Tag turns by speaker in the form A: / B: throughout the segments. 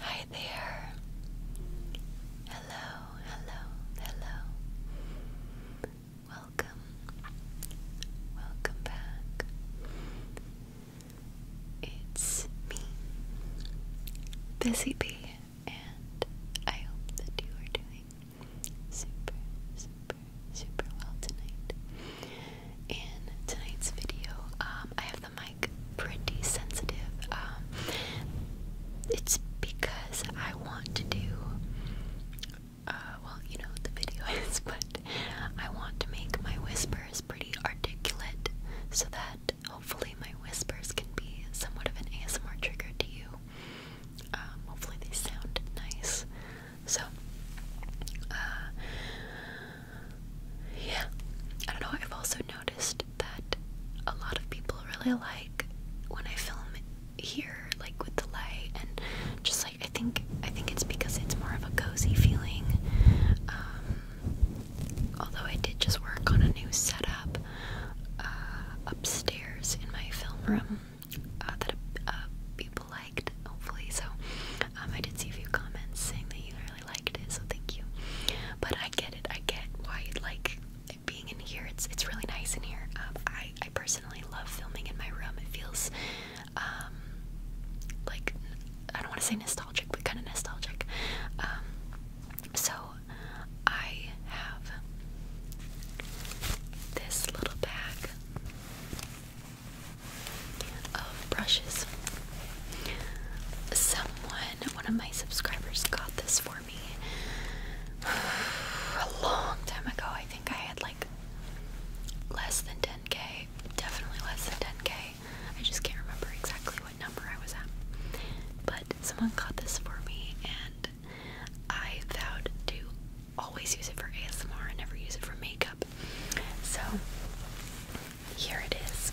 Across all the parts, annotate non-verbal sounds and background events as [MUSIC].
A: Hi there. Hello, hello, hello. Welcome. Welcome back. It's me, Busy Bee, and I hope that you are doing super, super, super well tonight. In tonight's video, um, I have the mic pretty sensitive. Um, it's because I want to do, uh, well, you know what the video [LAUGHS] is, but I want to make my whispers pretty articulate so that hopefully my whispers can be somewhat of an ASMR trigger to you. Um, hopefully they sound nice. So, uh, yeah. I don't know. I've also noticed that a lot of people really like when I film here, like with the light, and just like I think I think it's because it's more of a cozy feeling. Um, although I did just work on a new setup uh, upstairs in my film room. Uh, that uh, people liked, hopefully. So um, I did see a few comments saying that you really liked it, so thank you. But I get it. I get why you like being in here. It's it's really nice in here. Um, I I personally love filming in my room. It feels um, like I don't want to say nostalgic, but kind of nostalgic. so I have this little bag of brushes. Someone, one of my subscribers, got this for me [SIGHS] a long time ago. I think I had like less than 10k, definitely less than 10k. I just can't remember exactly what number I was at. But someone got this for me, and I vowed to always use it for ASMR and never use it for makeup. So here it is.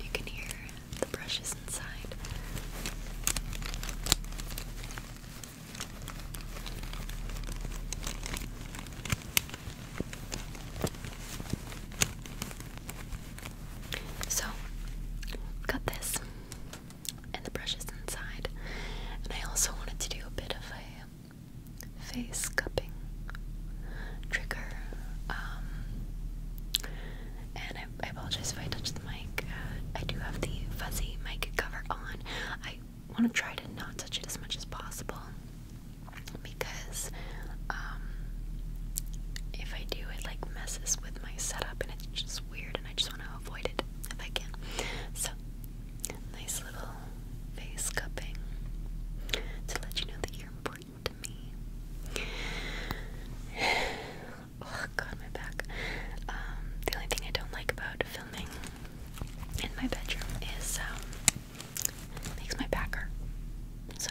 A: You can hear the brushes inside. So, got this and the brushes inside. And I also wanted to do a bit of a face cupping trigger. Um, and I, apologize if I touch the mic. Uh, I do have the fuzzy mic cover on. I want to try to not touch it as much as possible because um, if I do, it like messes with my setup and it's just weird and I just want to avoid it if I can. So, nice little face cupping to let you know that you're important to me. [SIGHS] oh god, my back. Um, the only thing I don't like about filming in my bedroom is um, it makes my back So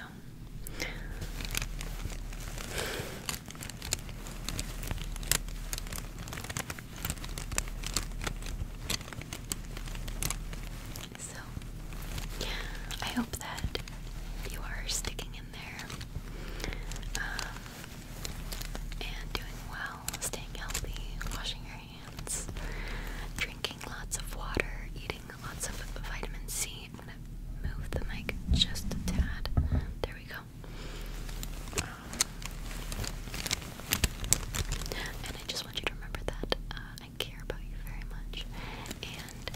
A: so I hope that you are sticking in there um, and doing well, staying healthy, washing your hands, drinking lots of water, eating lots of vitamin C. I'm gonna move the mic just a tad. There we go. and I just want you to remember that uh, I care about you very much. And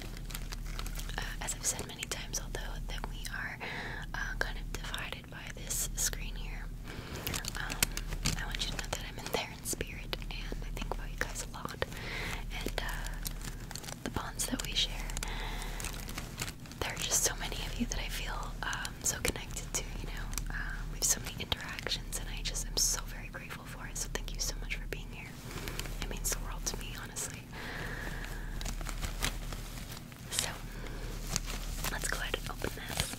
A: uh, as I've said many times, although that we are uh, kind of divided by this screen here, um, I want you to know that I'm in there in spirit, and I think about you guys a lot. And the bonds that we share. There are just so many of you that I feel um, so connected to, you know. Uh, we have so many interactions, and I just am so very grateful for it. So, thank you so much for being here. It means the world to me, honestly. So, let's go ahead and open this.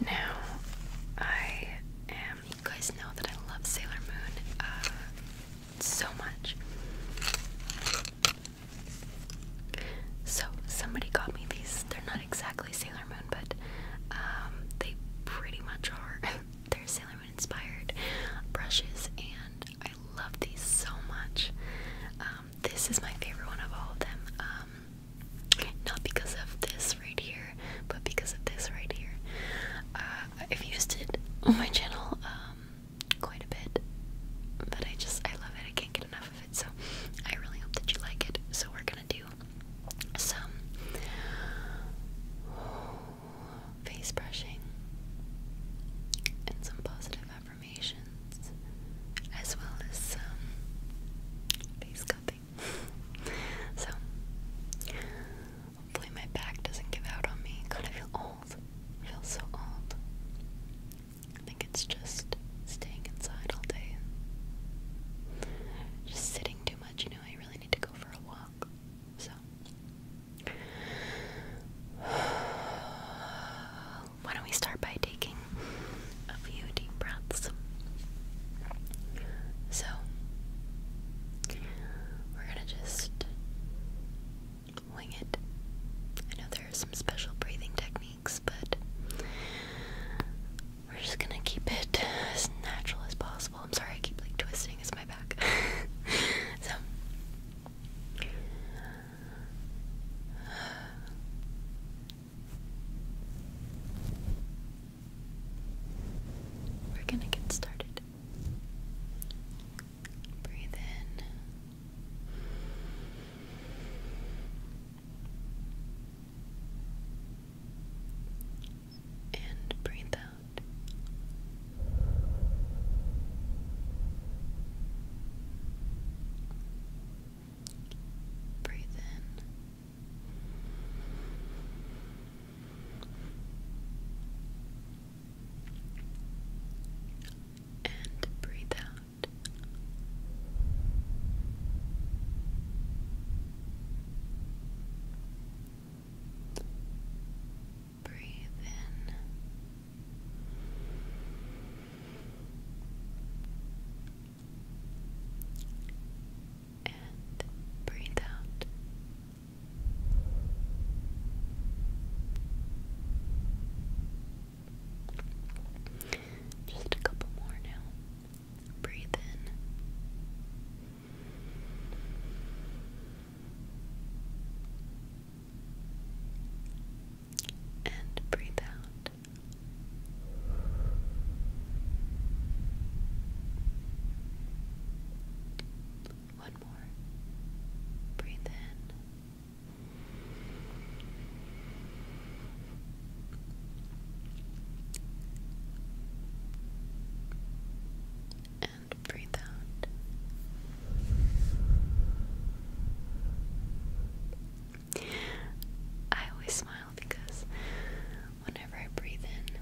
A: Now, I am you guys know that I love Sailor Moon uh, so much. So somebody got me these. They're not exactly Sailor Moon, but um, they pretty much are. [LAUGHS] They're Sailor Moon inspired brushes, and I love these so much. Um, this is my favorite one of all of them. Um, not because of this right here, but because of this right here. Uh, I've used it on my channel um, quite a bit, but I just, I love it. I can't get enough of it. So I really hope that you like it. So we're gonna do some face brushing and some positive affirmations, as well as some face cupping so, hopefully, my back doesn't give out on me. God, I feel old. feel so old. I think it's just staying inside all day just sitting too much. You know, I really need to go for a walk. So, [SIGHS] why don't we start by taking a few deep breaths. So, we're gonna just wing it. I know there are some special breathing techniques, but we're just gonna keep it as natural as possible. I'm sorry I keep like twisting, it's my back. [LAUGHS] so, we're gonna get started. Breathe in. And breathe out. Breathe in and breathe out. Breathe in and breathe out. Just a couple more now. Breathe in. And breathe out. One more. Breathe in. And breathe out. I always smile because whenever I breathe in.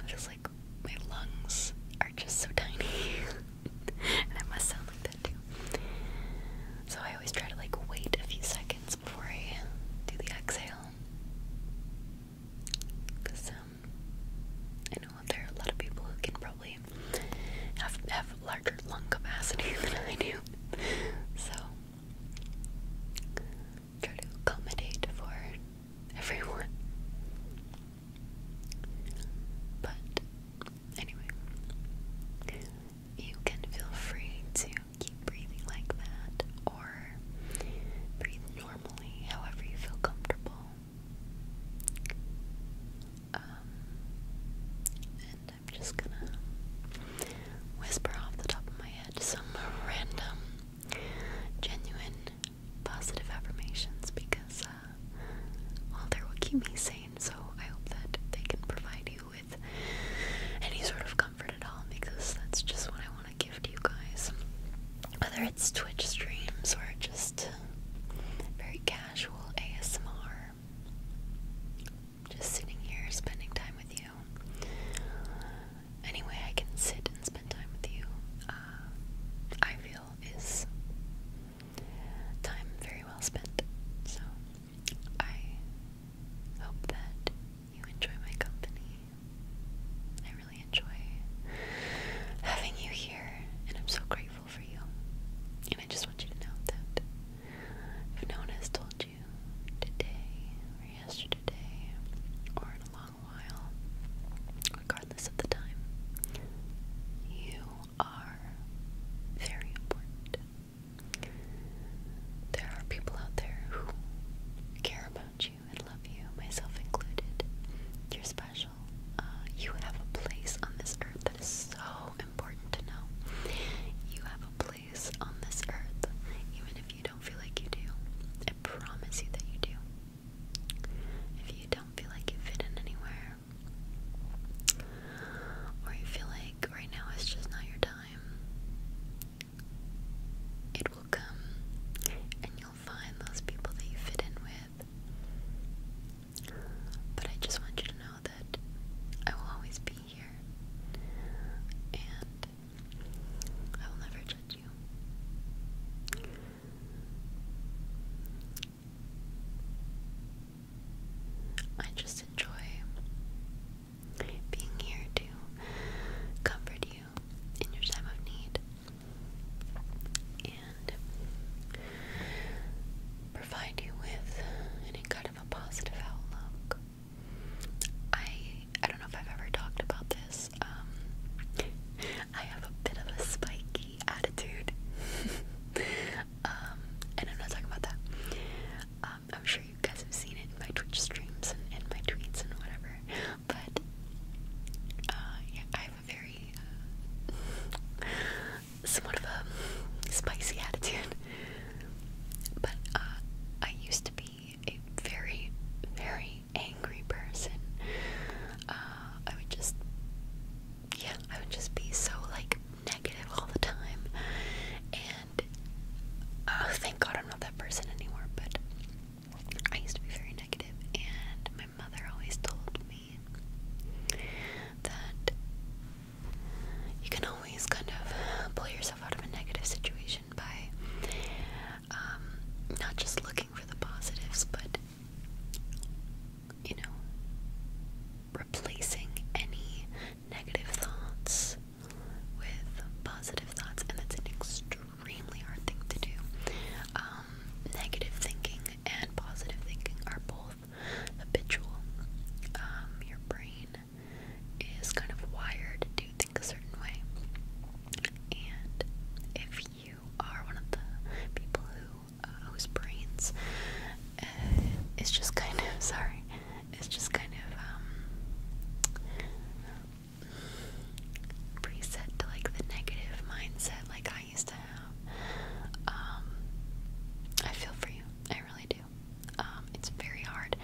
A: It's just like my lungs are just so tiny. [LAUGHS] and I must sound like that too. So I always try to like wait a few seconds before I uh, do the exhale. Because um, I know there are a lot of people who can probably have, have larger lung capacity [LAUGHS] than I do. So Try to accommodate for everyone. But anyway, you can feel free to keep breathing like that or breathe normally, however you feel comfortable. Um, I'm just gonna whisper off the top of my head some random, genuine, positive affirmations because, uh, well, they will keep me sane, so I hope that they can provide you with any sort of comfort at all because that's just what I want to give to you guys. Whether it's Twitch streams or just very casual ASMR, just sitting here spending time with you. Any I can sit and spend time with you, uh, I feel is time very well spent. So I hope that you enjoy my company. I really enjoy having you here, and I'm so grateful for you. And I just want you to know that if no one has told you, today or yesterday or in a long while, regardless of the time, you are very important. There are people out there who care about you and love you, myself included. You're special. Uh, you have a place on this earth that is so important to know. You have a place on this earth, even if you don't feel like you do. I promise you that you do. If you don't feel like you fit in anywhere, or you feel like right now it's just not your time, it will come and you'll find those people that you fit in with. But I just want you to know that I will always be and I will never judge you. I just enjoy being here to comfort you in your time of need and provide you with any kind of a positive outlook. I I don't know if I've ever talked about this. Um, I have a bit of a spiky attitude, [LAUGHS] um, and I'm not talking about that. Um, I'm sure you guys have seen it in my Twitch streams and, and my tweets and whatever, but uh, yeah, I have a very uh, somewhat of a spicy [LAUGHS] attitude. But uh, I used to be a very, very angry person. Uh, I would just, yeah, I would just be so like negative all the time. And oh, thank God I'm not that person anymore. But I used to be very negative, and my mother always told me that you can always kind of pull yourself out of a negative situation by um, not just looking for the positives, but you know, replacing any negative thoughts with positive thoughts, and that's an extremely hard thing to do. Um, negative thinking and positive thinking are both habitual. Um, your brain is kind of wired to think a certain way. And if you are one of the people uh, whose brains uh, is just kind of [LAUGHS] sorry, it's just kind of um preset to like the negative mindset like I used to have. Um I feel for you. I really do. Um, it's very hard,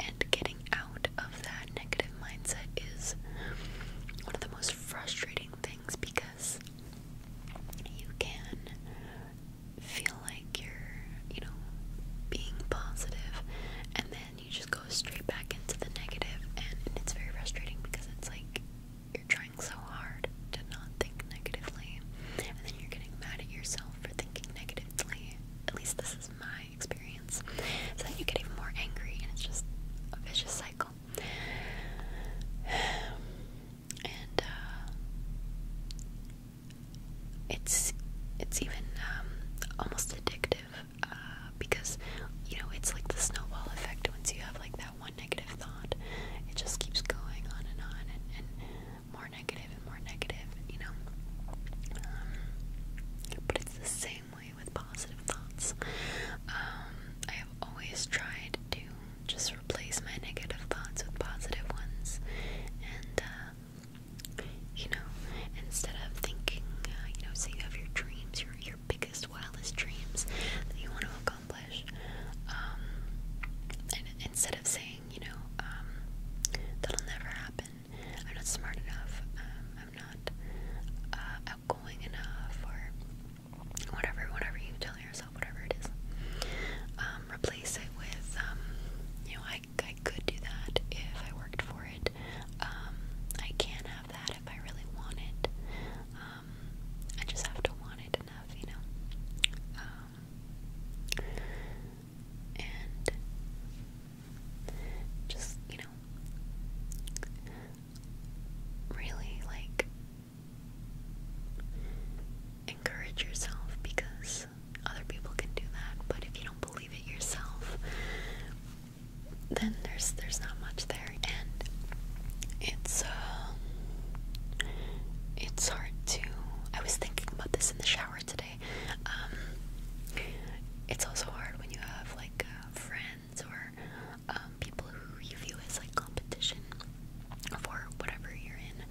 A: and getting out of that negative mindset is one of the most frustrating things because you can feel like you're, you know, being positive, and then you just go straight back into the negative, and it's very frustrating because it's like you're trying so hard to not think negatively, and then you're getting mad at yourself for thinking negatively. At least this is my experience. So then you get even more angry, and it's just a vicious cycle. And uh, it's it's even um, almost addictive uh, because you know it's like the snowball effect. Once you have like that one negative thought, it just keeps going on and on, and more negative and more negative, you know. Um, but it's the same way with positive thoughts. Um, I have always tried to just replace my negative thoughts with positive ones, and uh, you know, instead of thinking, uh, you know, say you have your dreams, your your biggest, wildest dreams that you want to accomplish, um, and instead of saying saying, you know, um, that'll never happen. I'm not smart enough. Um, I'm not uh, outgoing enough, or whatever, whatever you tell yourself, whatever it is. Um, replace it with, um, you know, I, I could do that if I worked for it. Um, I can have that if I really want it. Um, I just have to want it enough, you know. Um, and just, you know, really like encourage yourself because other people can do that, but if you don't believe it yourself, then there's there's not much there and it's uh it's hard to I was thinking about this in the shower today um, it's also hard when you have like uh, friends or um, people who you view as like competition for whatever you're in,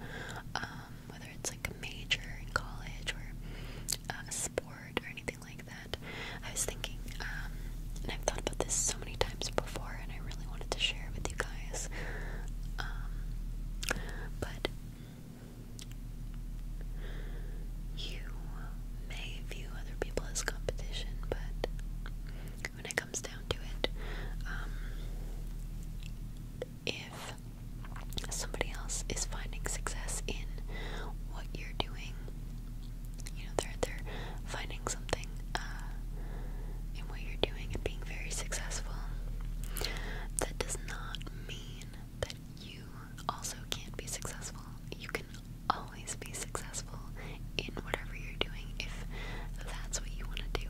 A: um, whether it's like a major in college or uh, a sport or anything like that. I was thinking, um, and I've thought about this so many times before, and I really wanted to share it with you guys. Um, but you may view other people as competition, but when it comes down to it, um, if somebody else is finding success in what you're doing, you know they're they're finding something uh, in what you're doing and being very successful. That does not mean that you also can't be successful. You can always be successful in whatever you're doing if that's what you want to do.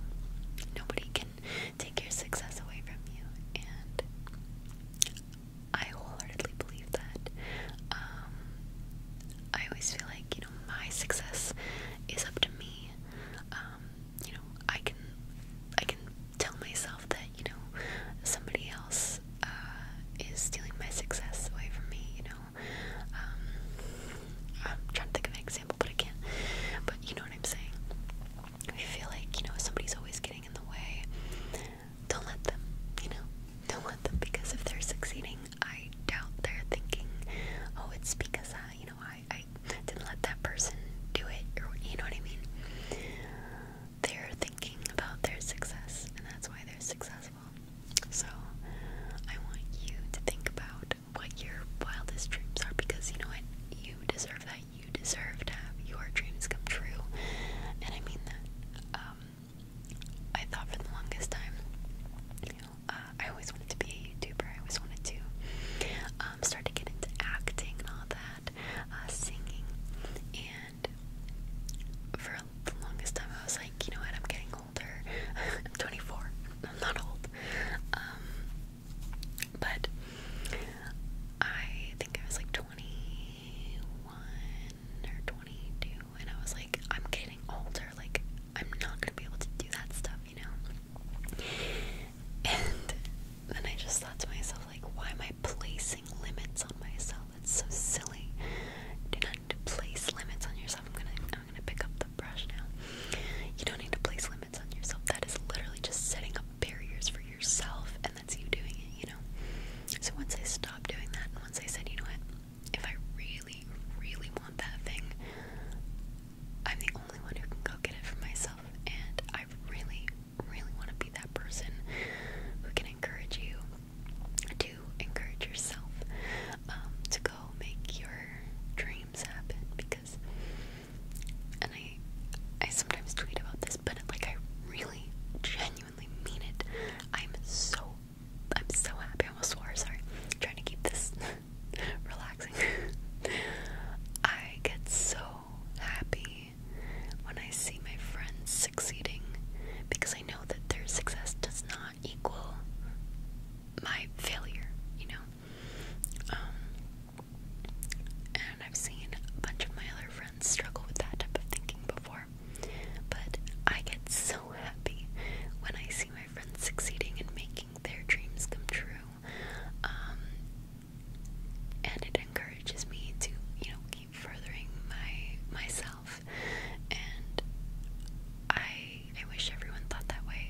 A: Nobody can take your success away from you, and I wholeheartedly believe that. Um, I always feel like, you know, my success is up to me. Um, you know, I can I can tell myself that, you know, somebody else uh, is stealing my success away from me, you know. Um, I'm trying to think of an example, but I can't. But you know what I'm saying? I feel like, you know, somebody's always getting in the way. Don't let them, you know, don't let them because if they're succeeding, I doubt they're thinking, oh, it's because I, you know, I, I didn't let that person do it, or you know what I mean? They're thinking about their success, and that's why they're successful. So, I want you to think about what your wildest dreams are because you know what? You deserve that. You deserve to have your dreams come true. And I mean that. Um, I thought for the longest time, you know, uh, I always wanted to be YouTuber. I always wanted to um, start to get into acting and all that, uh, singing. And for the longest time, I was like, you know what? I'm getting older. [LAUGHS] I'm 24. I'm not old. Um, but I think I was like 21 or 22, and I was like, I'm getting older. Like, I'm not gonna be able to do that stuff, you know? And then I just thought to myself, like, why am I placing limits on myself? That's so silly. Do not place limits on yourself. I'm gonna I'm gonna pick up the brush now. You don't need to place limits on yourself. That is literally just setting up barriers for yourself and that's you doing it, you know? So once I stopped doing that and once I said, you know what, if I really, really want that thing, I'm the only one who can go get it for myself, and I really, really want to be that person who can encourage you to encourage yourself um, to go make your dreams happen. Because, and I, I sometimes tweet about this, but like I really, genuinely mean it. I'm so, I'm so happy. I almost swore. Sorry, I'm trying to keep this relaxing. [LAUGHS] I get so happy when I see my friends succeeding because I know that their success does not equal my failure, you know? Um, and I've seen a bunch of my other friends struggle with that type of thinking before, but I get so happy when I see my friends succeeding and making their dreams come true um, and it encourages me to you know keep furthering my myself and I I wish everyone thought that way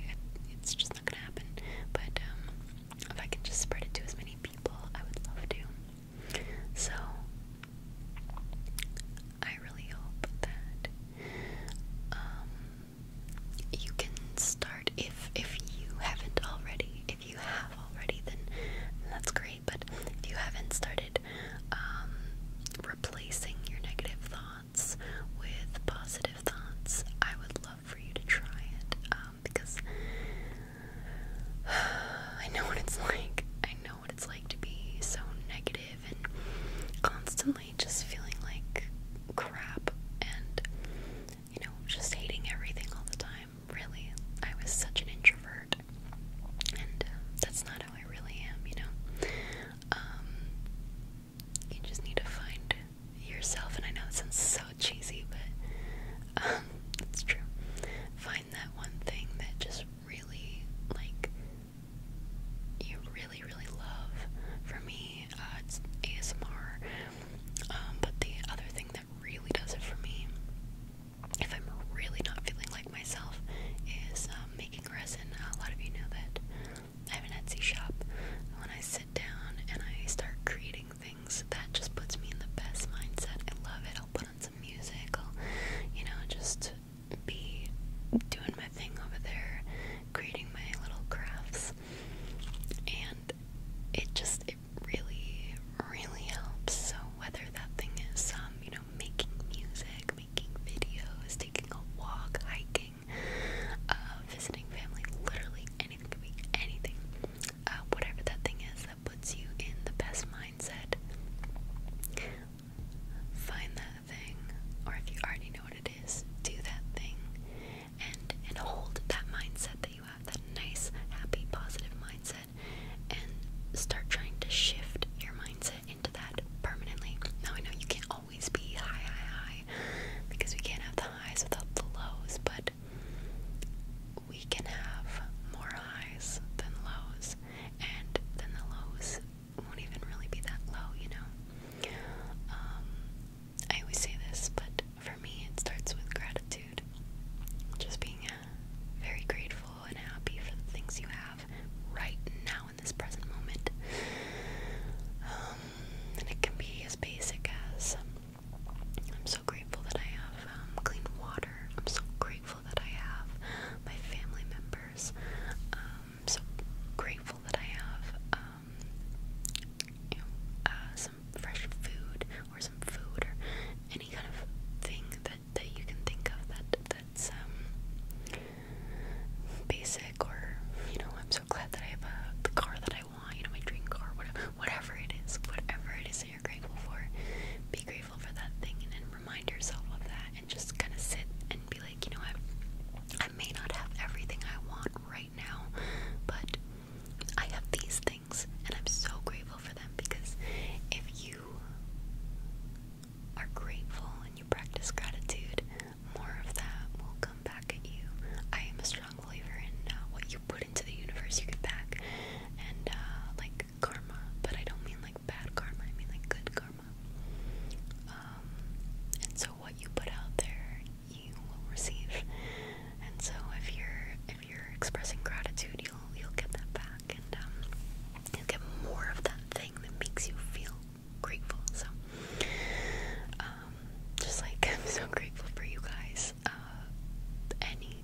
A: it's just not gonna happen but um, if I can just spread it to as many people I would love to so I really hope that um, you can start if if you haven't already. If you have already, then that's great. But if you haven't started um, replacing your negative thoughts with positive thoughts, I would love for you to try it um, because [SIGHS] I know what it's like. I know what it's like to be so negative and constantly just feeling like crap and you know, just hating everything all the time. Really, I was such an introvert, and uh, that's not how I really am, you know. Um, you just need to find yourself, and I know it sounds so cheesy, but um, [LAUGHS] true. Find that one thing that just really, like, you really, really love. For me, uh, it's ASMR um, but the other thing that really does it for me, if I'm really not feeling like myself, is um, making resin. A lot of you know that I have an Etsy shop. When I sit down and I start creating things, that just puts me in the best mindset. I love it. I'll put on some music. I'll, you know, just be doing my thing over there, creating my little crafts things. And it just it really, really helps. So whether that thing is um, you know, making music, making videos, taking a walk, hiking, uh, visiting family, literally anything could be anything. Uh, whatever that thing is that puts you in the best mindset. Find that thing, or if you already know what it is, do that thing and and hold that mindset that you have, that nice, happy, positive mindset, and start trying to shift your mindset into that permanently. Now I know you can't always be high, high, high, because we can't have the highs without the lows, but we can have more highs than lows, and then the lows won't even really be that low, you know. Um, I always say this, but for me, it starts with gratitude. Just being uh, very grateful and happy for the things you have right now in this present moment. Um, and it can be as basic as um, I'm so grateful that I have um, clean water. I'm so grateful that I have my family members. I'm so grateful that I have um, you know, uh, some fresh food or some food or any kind of thing that that you can think of that that's um basic or you know I'm so glad that I have a, uh, the car that I want you know my dream car whatever whatever it is whatever it is that you're grateful for be grateful for that thing and then remind yourself of that and just kind of sit and be like you know what I may not have everything I want right right now, but I have these things and I'm so grateful for them because if you are grateful and you practice gratitude, more of that will come back at you. I am a strong believer in uh, what you put into the universe, you get back, and uh, like karma, but I don't mean like bad karma, I mean like good karma. Um, and so what you put out there you will receive. And so if you're if you're expressing gratitude, you'll you'll get that back, and um, you'll get more of that thing that makes you feel grateful. So, um, just like [LAUGHS] I'm so grateful for you guys. Uh,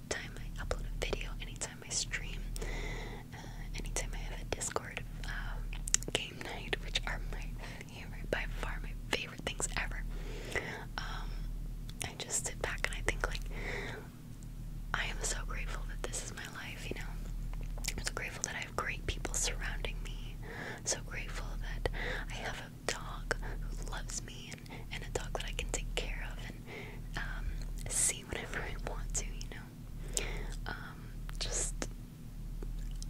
A: time I upload a video, anytime I stream, uh, anytime I have a Discord uh, game night, which are my you're by far my favorite things ever. Um, I just sit back and I think like I am so grateful that this is my life, you know. I'm so grateful that I have great people surrounding me. I'm so grateful that I have a dog who loves me and, and a dog that I can take care of and um, see whenever I want to, you know. Um, just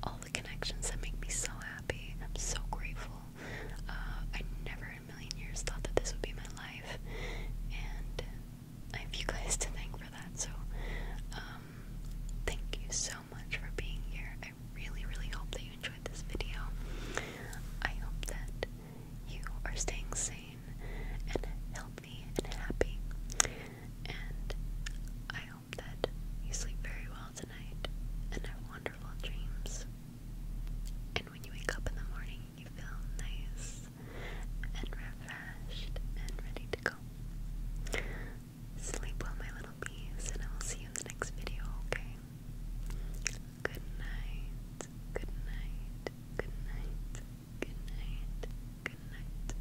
A: all the connections that make me so happy. I'm so grateful. Uh, I never in a million years thought that this would be my life, and I have you guys to thank for that. So, um, thank you so much for being here. I really, really hope that you enjoyed this video. I hope that you are staying sane and healthy and happy, and I that you sleep very well tonight and have wonderful dreams. And when you wake up in the morning, you feel nice and refreshed and ready to go. Sleep well, my little bees, and I will see you in the next video, okay? Good night, good night, good night, good night, good night.